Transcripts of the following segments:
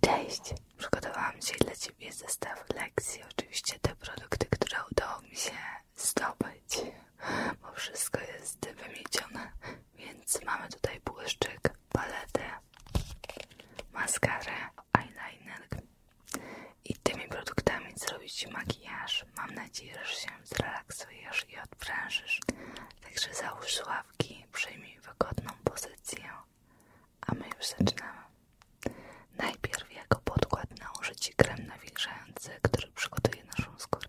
Cześć! Przygotowałam dzisiaj dla Ciebie zestaw lekcji. Oczywiście te produkty, które udało mi się zdobyć, bo wszystko jest wymiecione. Więc mamy tutaj błyszczyk, paletę, maskarę, eyeliner i tymi produktami zrobić makijaż. Mam nadzieję, że się zrelaksujesz i odprężysz. Także załóż sławki, przyjmij wygodną pozycję a my już zaczynamy. Najpierw jako podkład nałożę Ci krem nawilżający, który przygotuje naszą skórę.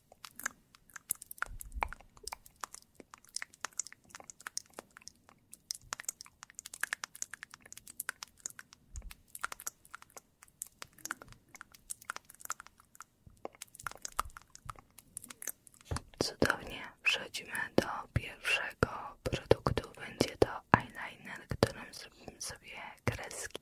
Cudownie przechodzimy do pierwszego produktu. Będzie to eyeliner, którym zrobimy sobie kreski.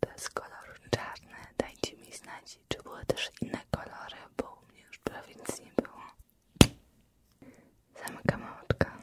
To jest kolor czarny. mi znać, czy były też inne kolory, bo u mnie już prawie nic było. Zamykam oczka.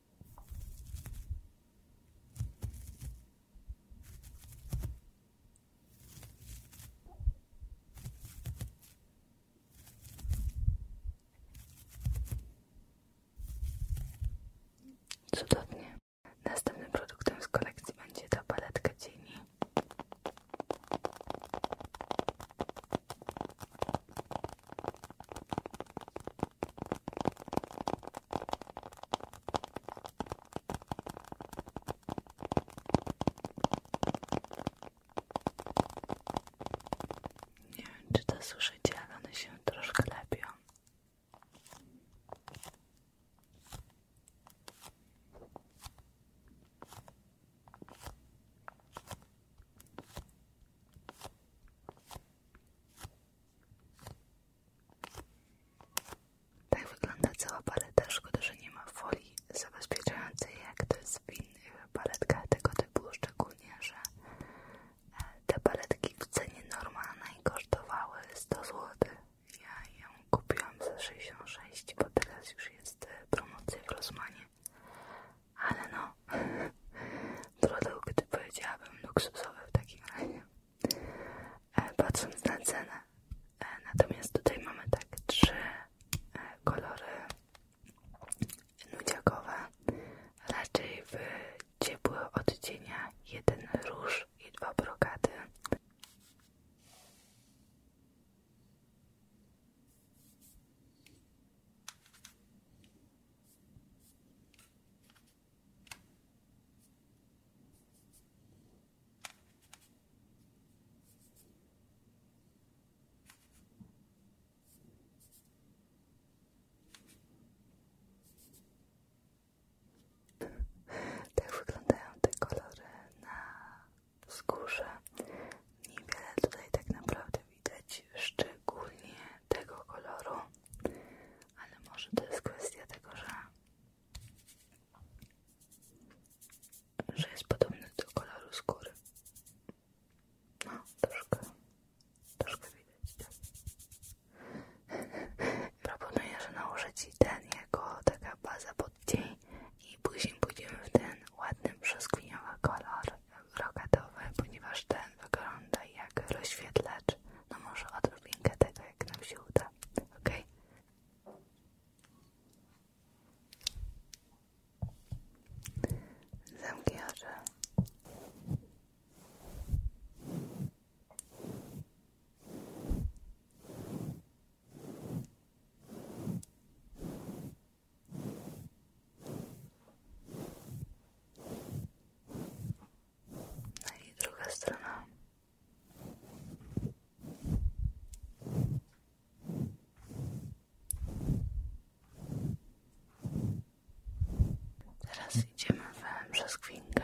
Cudownie. Następnym produktem z kolekcji będzie ta paletka cieni. Nie wiem, czy to słyszycie, ale one się troszkę lepią. Tak wygląda cała paleta. Szkoda, że nie ma folii zabezpieczającej, jak to jest w innych paletkach tego typu, szczególnie, że e, te paletki w cenie normalnej kosztowały 100 zł. Ja ją kupiłam za 66, bo teraz już jest e, promocja w Rosmanie ale no produkt powiedziałabym luksusowy w takim razie e, patrząc na cenę e, natomiast tutaj mamy tak trzy e, kolory nudziakowe raczej w ciepłych odcieniach jeden róż i dwa brokaty tak wyglądają te kolory na wzgórze. Niewiele tutaj tak naprawdę widać szczególnie tego koloru, ale może to jest kwestia tego, że, jest podobny do koloru skóry. No, troszkę, troszkę widać, tak. Proponuję, że nałożę Ci ten jako taka baza pod i później pójdziemy w ten ładny, brzoskwiniowy kolor rogatowy, ponieważ ten wygląda jak rozświetlacz. No może odrobinkę tego, jak nam się uda. No i druga strona. Teraz idziemy w brzoskwinkę.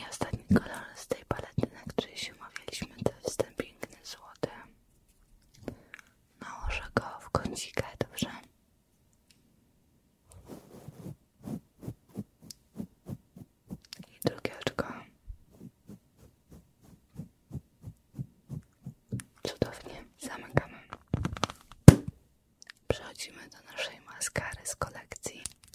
I ostatni kolor z tej palety, na której się umawialiśmy, to jest ten piękny złoty. Nałożę go w kącikę, dobrze? I drugie oczko. Cudownie, zamykamy. Przechodzimy do naszej maskary z kolekcji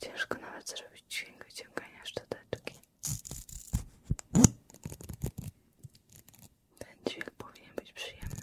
Ciężko nawet zrobić dźwięk wyciągania szczoteczki. Ten dźwięk powinien być przyjemny.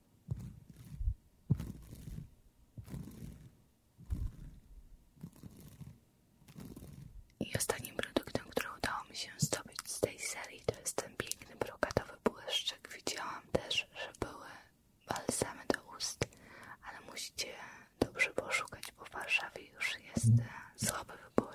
I ostatnim produktem, który udało mi się zdobyć z tej serii, to jest ten piękny brokatowy błyszczyk. Widziałam też, że były balsamy do ust, ale musicie dobrze poszukać, bo w Warszawie już jest mhm. e, słaby wybór.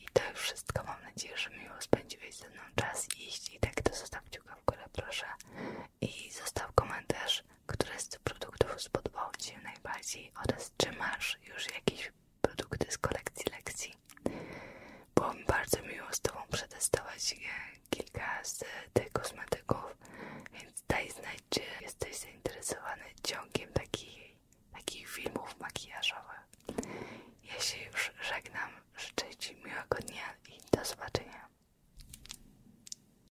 I to już wszystko. Mam nadzieję, że miło spędziłeś ze mną czas iść i tak to zostaw kciuka w górę proszę i zostaw komentarz, które z produktów spodobał Ci się najbardziej oraz czy masz już jakieś produkty z kolekcji lekcji. Było bardzo miło z Tobą przetestować kilka z tych kosmetyków, więc daj znać, czy jesteś zainteresowany ciągiem takich, takich filmów makijażowych. Ja się już żegnam, życzę Ci miłego dnia i do zobaczenia.